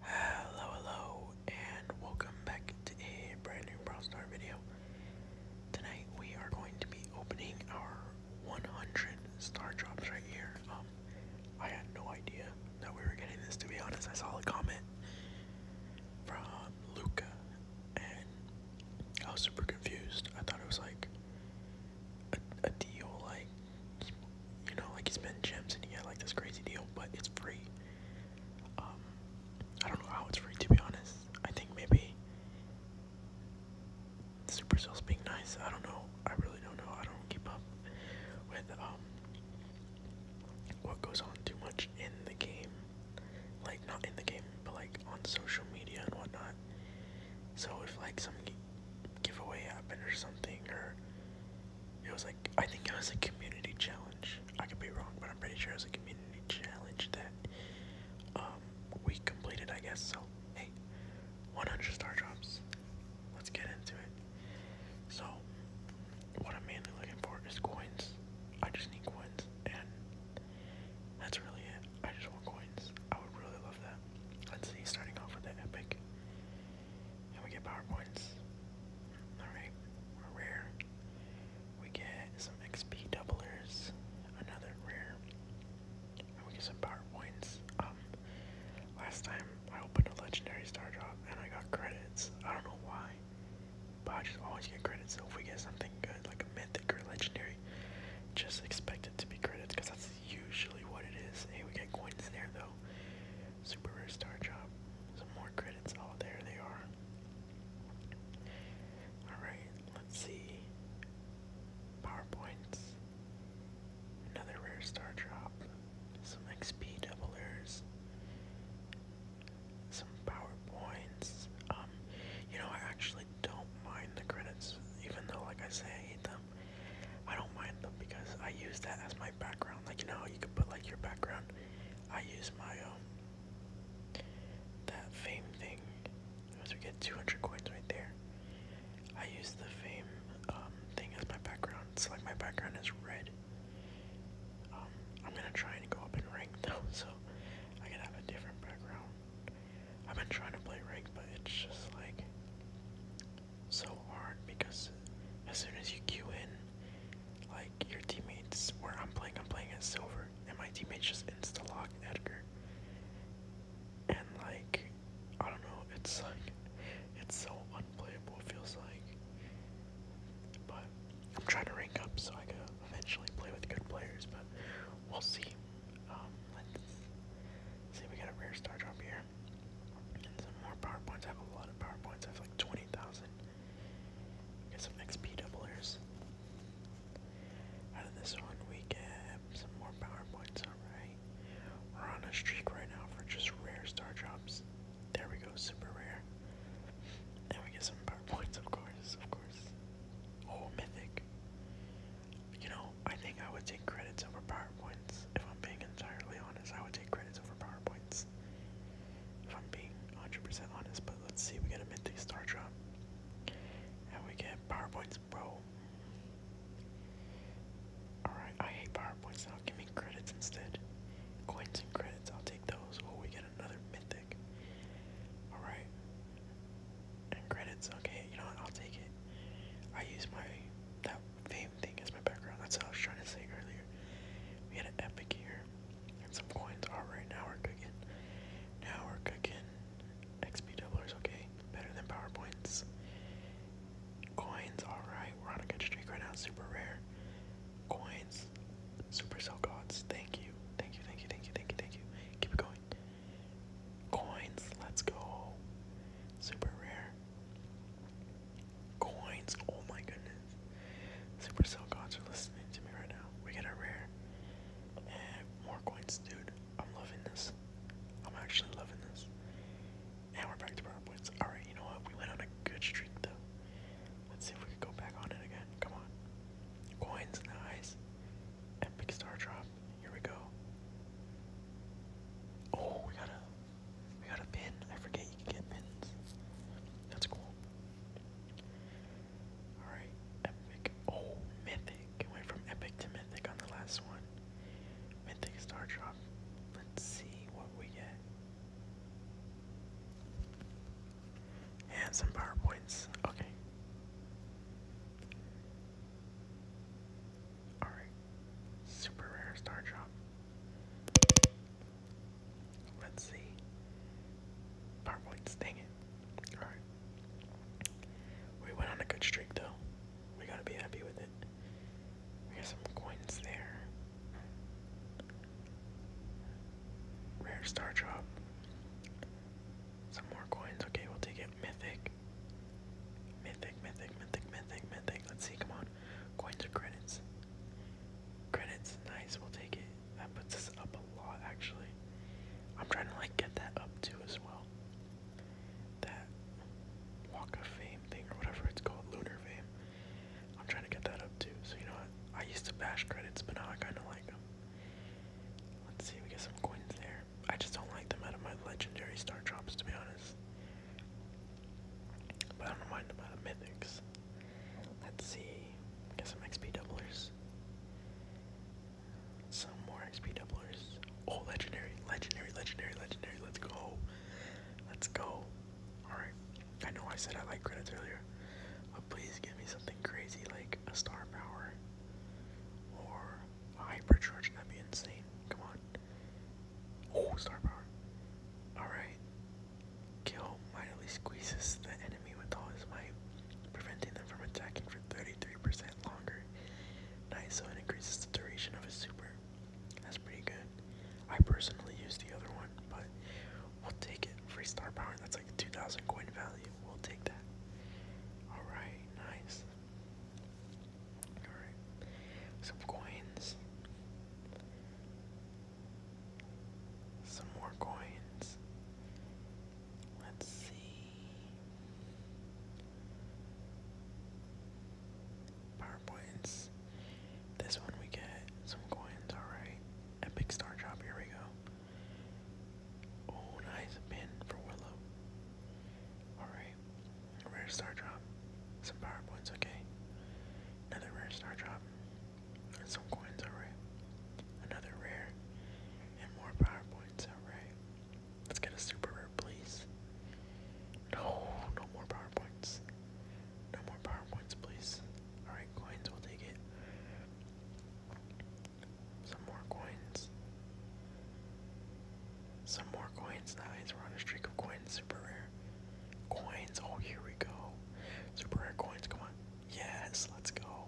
Hello, hello, and welcome back to a brand new Brawl Star video. Tonight we are going to be opening our 100 star drops right here. Um, I had no idea that we were getting this, to be honest. I saw a comment from Luca, and I was super confused. I thought it was like a deal, like you know, like you spend gems and you get like this crazy deal, but it's free. Um, I don't know how it's free to be honest. I think maybe Supercell's being nice. I don't know. I really don't know. I don't keep up with um what goes on too much in the game. Like not in the game, but like on social media and whatnot. So if like some giveaway happened or something, or it was like I think it was a community challenge. I could be wrong, but I'm pretty sure it was a community challenge that um, we completed. I guess so. Hey, 100 star drops. Let's get into it. So, what I'm mainly looking for is coins. I just need coins, and that's really it. I just want coins. I would really love that. Let's see, starting off with the epic. And we get power points. Alright, we rare. We get some XP doublers, another rare. And we get some power points. Um, last time I opened a legendary star drop and I got credits. I don't know why, but I just always get credits. So if we get something good, like a mythic or legendary, just expect it to be credits because that's usually what it is. Hey, we got coins in there though. Super rare star drop. Some more credits. Oh, there they are. Alright, let's see. PowerPoints. Another rare star drop. Some XP doublers. Some PowerPoints. Um, you know, I actually don't mind the credits, even though, like I say, I hate them. I don't mind them because I use that as my background. Like you know, you could put like your background. I use my um that fame thing. Once we get 200 coins right there, I use the fame um, thing as my background. So like my background is red. Um, I'm gonna try and go up in rank though, so I can have a different background. I've been trying to play ranked, but it's just like so hard because as soon as you queue in, like your teammates, where I'm playing, I'm playing as silver, and my teammates just insta lock Edgar. And like, I don't know, it's like, it's so unplayable, it feels like. But I'm trying to rank up so I can eventually play with good players, but we'll see. Um, let's see, we got a rare star drop here. some more PowerPoints. I have a lot of PowerPoints. I have like 20,000. Got some XP doublers. Out of this one, we get some more PowerPoints. Alright. We're on a streak right now for just rare star drops. There we go, super rare. And we get some PowerPoints, of course, of course. Oh, mythic. You know, I think I would take credits over PowerPoints. If I'm being entirely honest, I would take credits over PowerPoints. If I'm being 100% honest, but let's see, we get a Mythic Star Drop. And we get PowerPoints, bro. Alright, I hate PowerPoints now. Give me credits instead. Coins and credits, I'll take those. Oh, we get another Mythic. Alright credits. Okay, you know I'll take it. I use my that fame thing as my background. That's what I was trying to say earlier. We had epic here, and some coins. All right, now we're cooking. Now we're cooking. XP doublers, okay, better than powerpoints. Coins, all right. We're on a good streak right now. Super rare. Coins, supercell gods. Thank you, thank you, thank you, thank you, thank you, thank you. Keep it going. Coins, let's go. Super rare. Coins, oh my goodness. Super Cell Gods are listening to me right now. We get a rare. And more coins, dude. I'm loving this. I'm actually loving this. And we're back to our points. Alright, you know what? We went on a good streak though. Let's see if we can go back on it again. Come on. Coins, eyes. Epic star drop. Here we go. Oh, we got a we got a pin. I forget you can get pins. That's cool. Alright, epic. Oh, mythic. It went from epic to mythic on the last one. Mythic star drop. Let's see what we get. And some PowerPoints. Okay. Alright. Super rare star drop. Let's see. PowerPoints, dang it. Alright. We went on a good streak though. We gotta be happy with it. We got some coins there. Rare star drop. Some more coins. Okay, we'll take it. Mythic. Mythic, mythic, mythic, mythic, mythic. Let's see, come on. Coins or credits? Credits, nice, we'll take it. That puts us up a lot actually. I'm trying to like get that up too as well. That walk of fame thing or whatever it's called, lunar fame. I'm trying to get that up too. So you know what? I used to bash credits, but now I kinda like them. Let's see, we get some coins there. I just don't like them out of my legendary star drops, to be honest. But I don't mind them out of mythics. Let's see, get some XP doublers. Some more XP doublers. Oh, legendary, legendary, legendary, legendary. Let's go. Let's go. Alright, I know I said I like credits earlier, but please give me something crazy like a star power or hypercharge. That'd be insane. Come on. Oh, star power. Alright. Kill mightily squeezes the enemy with all his might, preventing them from attacking for 33% longer. Nice, so it increases the duration of his super. That's pretty good. I personally use the other but we'll take it. Free star power, that's like 2,000 coin value. We'll take that. Alright, nice. Alright, some coins. Some more coins. Let's see. Power points. This one we get some coins, alright. Epic Star Drop, here we go. Oh, nice, pin for Willow. Alright, rare Star Drop. Some power points, okay. Another rare Star Drop. And some coins, alright. Another rare. And more power points, alright. Let's get a super rare, please. No, no more power points. No more power points, please. Alright, coins, we'll take it. Some more coins. Some more coins, nice. We're on a streak of coins, super rare. Coins, oh, here we go. Super rare coins, come on. Yes, let's go.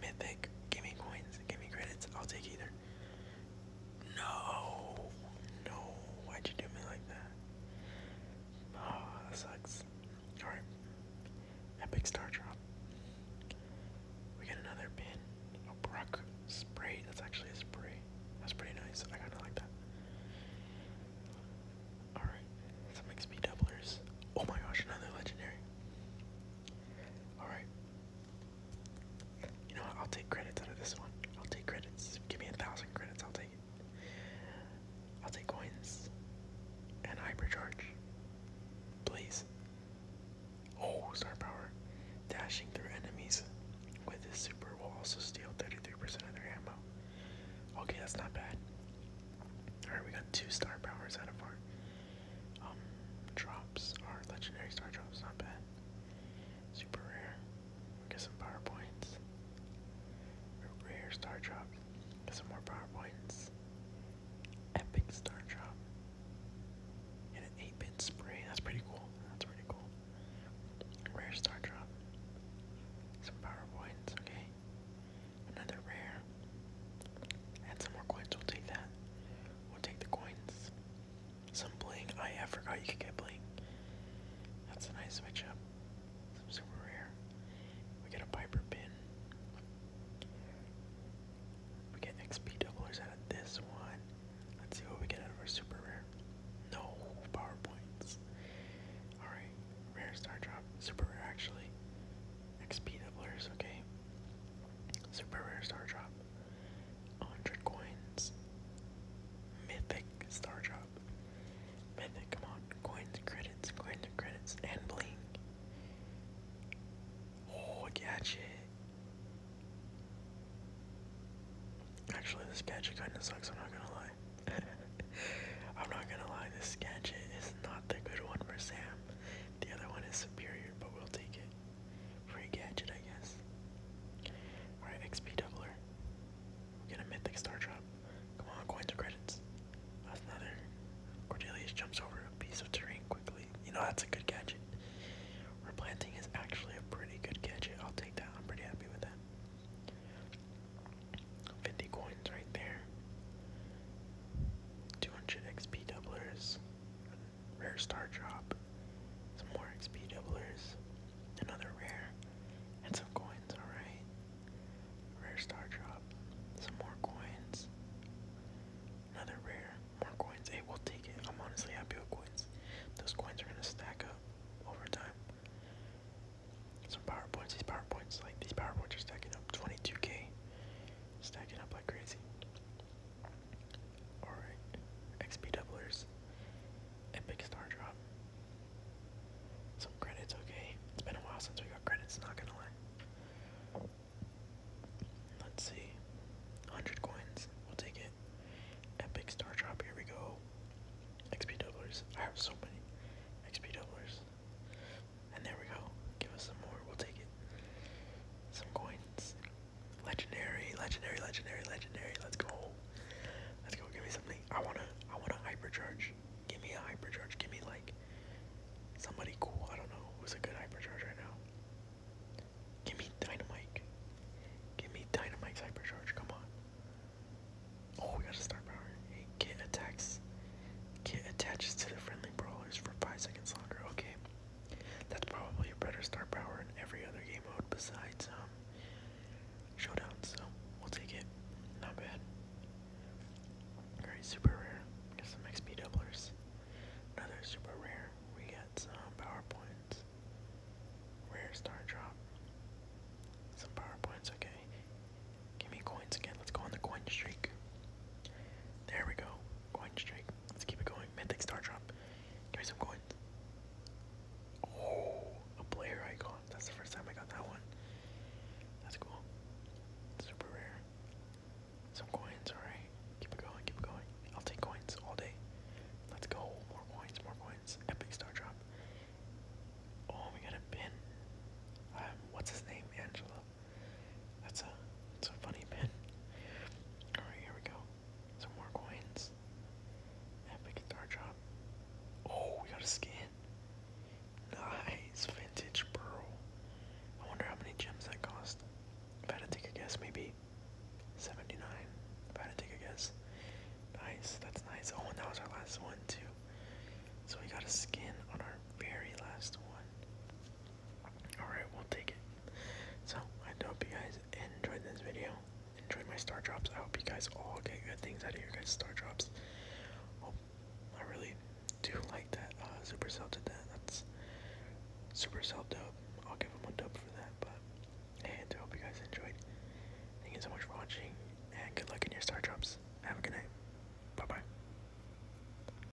Mythic, give me coins, give me credits. I'll take either. No, no, why'd you do me like that? Oh, that sucks. Alright. Epic Star Drop. We get another pin. A Brock spray. That's actually a spray. That's pretty nice. I kinda like that. Alright. Some XP doublers. Oh my gosh, another legendary. Alright. You know what? I'll take credits out of this one. I'll take credits. Give me a thousand credits, I'll take it. I'll take coins and hypercharge. Please. Oh, star power. Dashing through enemies with this super will also steal 33% of their ammo. Okay, that's not bad. Alright, we got two star powers out of our um drops, are legendary star drops, not bad. Super rare. Get some PowerPoints. Rare Star Drop. Get some more PowerPoints. Epic Star Drop. And an 8 bit spray. That's pretty cool. That's pretty cool. Rare Star Drop. Some PowerPoints, okay. Another rare. And some more coins. We'll take that. We'll take the coins. Some bling. Oh yeah, I forgot you can get bling. That's a nice switch up. Super rare. We get a Piper pin. We get XP doublers out of this one. Let's see what we get out of our super rare. No power points. Alright, rare star drop. Super rare actually. XP doublers, okay. Super rare star drop. 100 coins. Mythic star drop. Mythic, come on. Coins credits, coins credits, and bling. Oh, gadget. Actually, this gadget kinda sucks, I'm not gonna lie. I'm not gonna lie, this gadget is not the good one for Sam. The other one is superior, but we'll take it. Free gadget, I guess. Alright, XP doubler. Get a mythic star drop. Come on, coins or credits. That's another. Cordelius jumps over a piece of terrain quickly. You know, that's a good gadget. Replanting is actually a pretty good gadget. I'll take that. I'm pretty happy with that. 50 coins right there. 200 XP doublers rare star drop, some more XP doublers, another rare, and some coins, alright. Rare star drop, some more coins, another rare, more coins. Hey, will take it. I'm honestly happy with coins. Those coins are gonna stack up over time. Some power points, these power points, like these power points are stacking up 22k, stacking up like crazy. Alright. XP doublers. Epic star drop. Some credits, okay. It's been a while since we got credits, not gonna lie. Let's see. 100 coins. We'll take it. Epic star drop, here we go. XP doublers. I have so many XP doublers. And there we go. Give us some more. We'll take it. Some coins. Legendary, legendary, legendary, legendary. Let's go. Let's go. Give me something. I wanna, I wanna hypercharge. Give me a hypercharge. Give me like somebody cool. I don't know who's a good hypercharge right now. Give me dynamite. Give me dynamite's hypercharge. Come on. Oh, we got a star power. kit attacks. Kit attaches to the friendly brawlers for five seconds longer. Okay. That's probably a better star power in every other game mode besides um, Showdown, so we'll take it. Not bad. Alright, super rare. We some XP doublers. Another super rare. We got some power points. Rare star drop. Some power points, okay. Give me coins again. Let's go on the coin streak. There we go. Coin strike. Let's keep it going. Mythic Star Drop. Give some coins. Oh, a player icon. That's the first time I got that one. That's cool. Super rare. Some coins, alright. Keep it going, keep it going. I'll take coins all day. Let's go. More coins, more coins. Epic Star Drop. Oh, we got a pin. Um, what's his name? Angela. That's a that's a funny pin. Alright, here we go. Some more coins. Epic guitar job. Oh, we got a skin. Nice vintage pearl. I wonder how many gems that cost. If I had to take a guess, maybe 79. If I had to take a guess. Nice, that's nice. Oh, and that was our last one, too. So we got a skin on our very last one. Alright, we'll take it. So, I hope you guys enjoyed this video. Enjoyed my star drops. I hope you guys all get good things out of your guys' star drops. Hope I really do like that. Uh, Supercell did that. That's Supercell dope. I'll give them a dub for that. But, and I hope you guys enjoyed. Thank you so much for watching, and good luck in your star drops. Have a good night. Bye bye.